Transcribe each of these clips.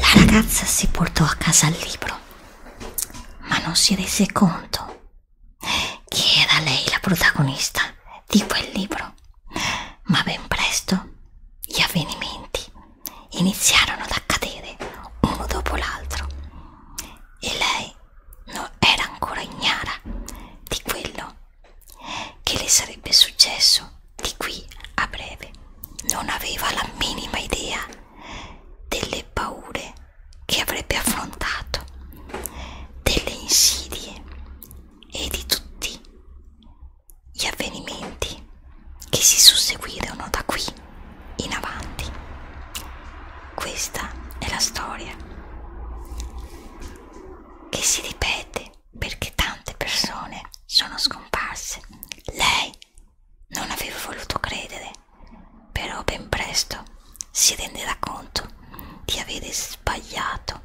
La ragazza si portò a casa il libro, ma non si rese conto che era lei la protagonista di quel libro. Ma ben presto gli avvenimenti iniziarono ad accadere uno dopo l'altro e lei non era ancora ignara di quello che le sarebbe successo di qui a breve. Non aveva la minima idea delle paure che avrebbe affrontato, delle insidie e di tutti gli avvenimenti che si susseguirono da qui in avanti. Questa è la storia che si ripete perché tante persone sono scomparse. Lei non aveva voluto credere, però ben presto si renderà conto di avere sbagliato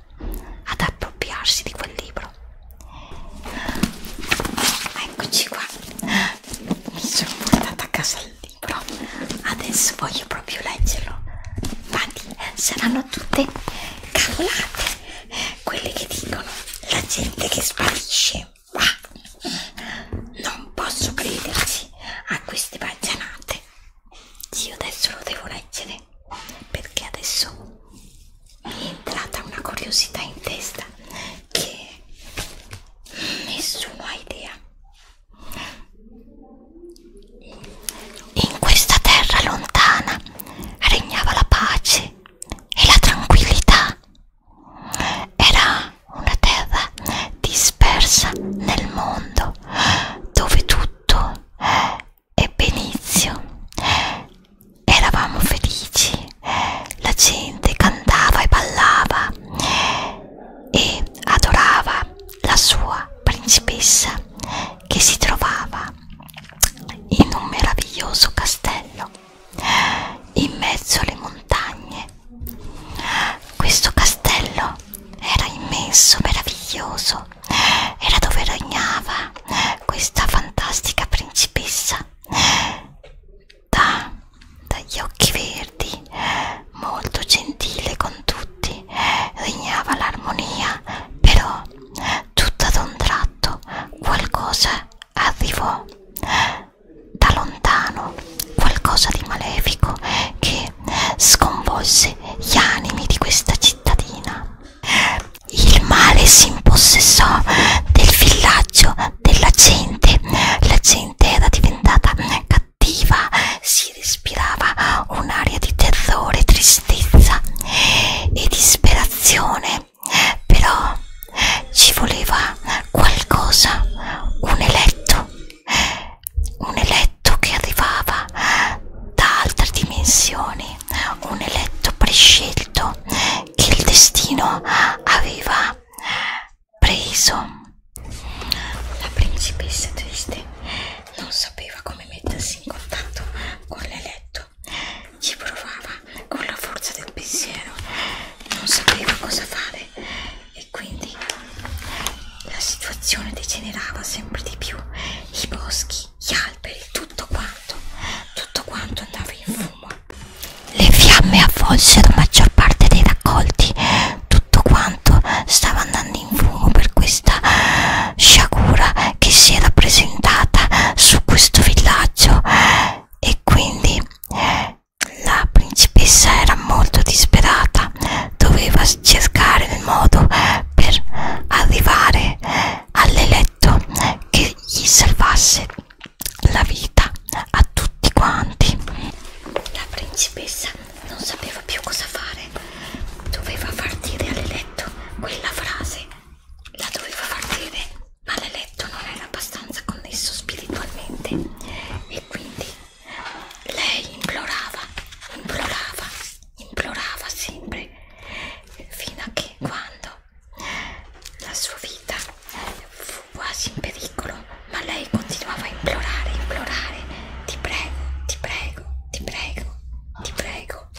ad appropriarsi di quel libro sicuro eccoci qua mi sono portata a casa il libro adesso voglio proprio leggerlo infatti eh, saranno tutte cavolate quelle che dicono la gente che sparisce ma non posso crederci a queste bagianate sì, io adesso lo devo leggere perché adesso mi è entrata una curiosità in testa che nessuno ha idea in questa terra lontana regnava la pace e la tranquillità era una terra dispersa nel mondo dove tutto è benizio eravamo felici, la gente cantava e ballava e adorava la sua principessa che si trovava in un meraviglioso castello in mezzo alle montagne. Questo castello era immenso, meraviglioso, era dove regnava questa fantastica principessa da, dagli occhi verdi, molto gentile con tutti, regnava l'armonia, però tutto ad un tratto qualcosa arrivò da lontano, qualcosa di malefico che sconvolse gli animi di questa cittadina. Il male si impossessò del villaggio della gente la gente era diventata cattiva si respirava un'aria di terrore tristezza e disperazione però ci voleva qualcosa un eletto un eletto che arrivava da altre dimensioni un eletto prescelto il destino aveva preso. La principessa triste non sapeva come mettersi in contatto con l'eletto, ci provava con la forza del pensiero, non sapeva cosa fare e quindi la situazione degenerava sempre di più. I boschi, gli alberi, tutto quanto, tutto quanto andava in fumo le fiamme avvolsero maggior parte dei raccolti, tutto quanto stava andando in fumo per questa sciagura che si era presentata su questo villaggio e quindi la principessa era molto disperata, doveva cercare il modo per arrivare all'eletto che gli salvasse la vita a tutti quanti. La principessa non sapeva più cosa fare, doveva far dire all'eletto quella frase, la doveva far dire, ma l'eletto non era abbastanza connesso spiritualmente e quindi lei implorava, implorava, implorava sempre fino a che quando la sua vita fu quasi in pericolo, ma lei continuava a implorare, implorare, ti prego, ti prego, ti prego, ti prego.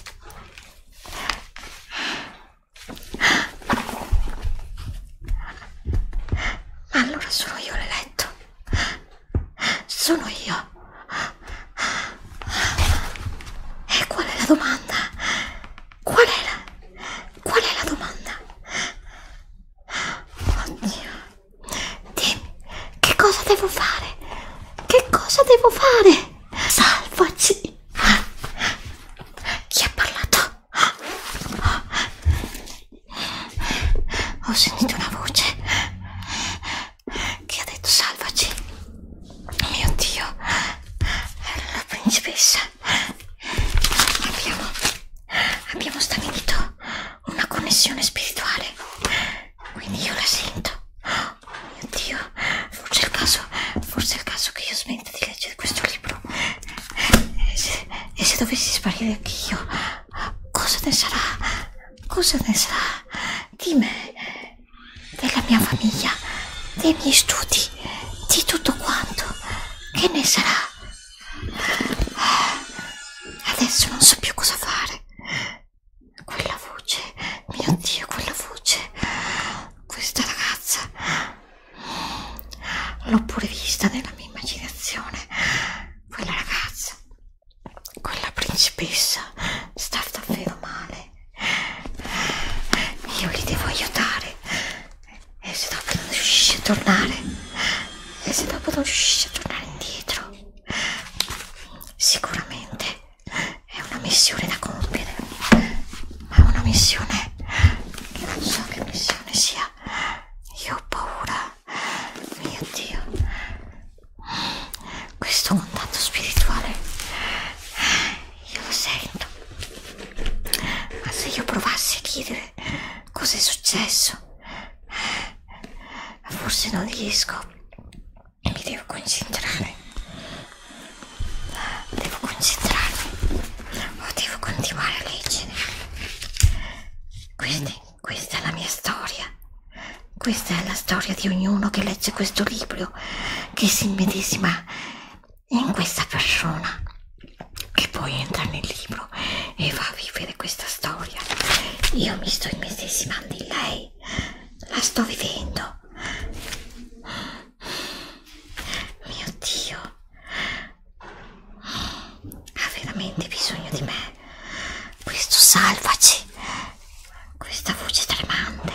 Allora sono io l'eletto, sono io. E qual è la domanda? Qual è la, qual è la domanda? Oddio, dimmi, che cosa devo fare? Che cosa devo fare? Salvaci! Chi ha parlato? Ho sentito una voce che ha detto salvaci. Mio Dio, era la principessa abbiamo, abbiamo stabilito una connessione spirituale, quindi io la sento. Oh mio Dio, forse è il caso, forse è il caso che io smetta di leggere questo libro. E se, e se dovessi sparire anche io, cosa ne sarà? Cosa ne sarà di me, della mia famiglia, dei miei studi, di tutto quanto? Che ne sarà? Adesso non so più cosa fare. Quella voce, mio Dio, quella voce. Questa ragazza. L'ho pure vista nella mia immaginazione. Quella ragazza. Quella principessa sta davvero male. Io li devo aiutare. E se dopo non riuscisci a tornare? E se dopo non riuscisci a tornare indietro? Sicuramente è una missione da compiere, ma è una missione che non so che missione sia. Io ho paura, mio Dio. Questo contatto spirituale io lo sento ma se io provassi a chiedere cosa è successo forse non riesco mi devo concentrare devo concentrarmi o devo continuare a leggere quindi questa è la mia storia questa è la storia di ognuno che legge questo libro che si immedesima e in questa persona che poi entra nel libro e va a vivere questa storia io mi sto immedesimando in lei la sto vivendo mio dio ha veramente bisogno di me questo salvaci questa voce tremante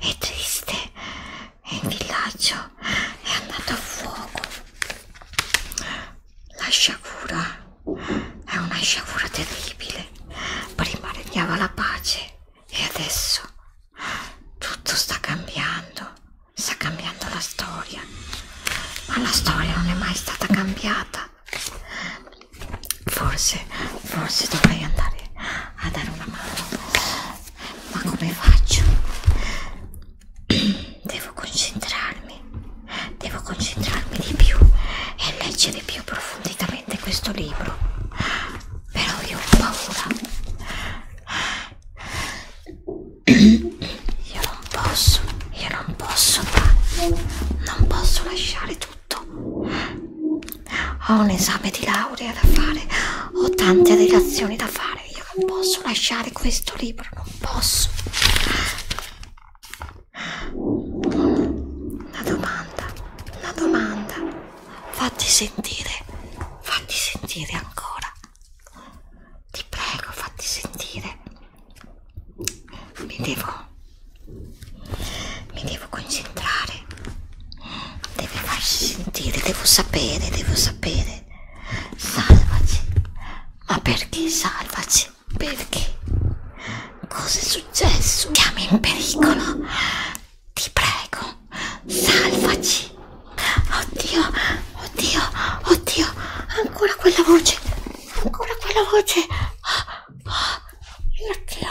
e triste il villaggio è andato a fuoco. La sciagura è una sciagura terribile. Prima regnava la pace e adesso tutto sta cambiando. Sta cambiando la storia. Ma la storia non è mai stata cambiata. Forse, forse dovrei andare a dare una mano. Ma come faccio? devo concentrarmi, devo concentrarmi di più e leggere più profondamente questo libro, però io ho paura, io non posso, io non posso, non posso lasciare tutto, ho un esame di laurea da fare, ho tante relazioni da fare lasciare, io non posso lasciare questo libro, non posso. Una domanda, una domanda. Fatti sentire, fatti sentire ancora. Ti prego, fatti sentire. Mi devo... Mi devo concentrare. Deve farsi sentire, devo sapere, devo sapere salvaci, salvaci. Ma perché salvaci? Perché? Cos'è successo? Siamo in pericolo. Ti prego, salvaci. Oddio, oddio, oddio. Ancora quella voce. Ancora quella voce. Oddio.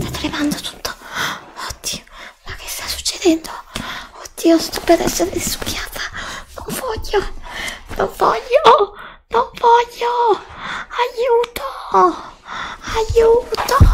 Sta tremando tutto. Oddio ma che sta succedendo? Oddio, sto per essere succhiata. Non voglio, non voglio, non voglio. Aiuto, aiuto.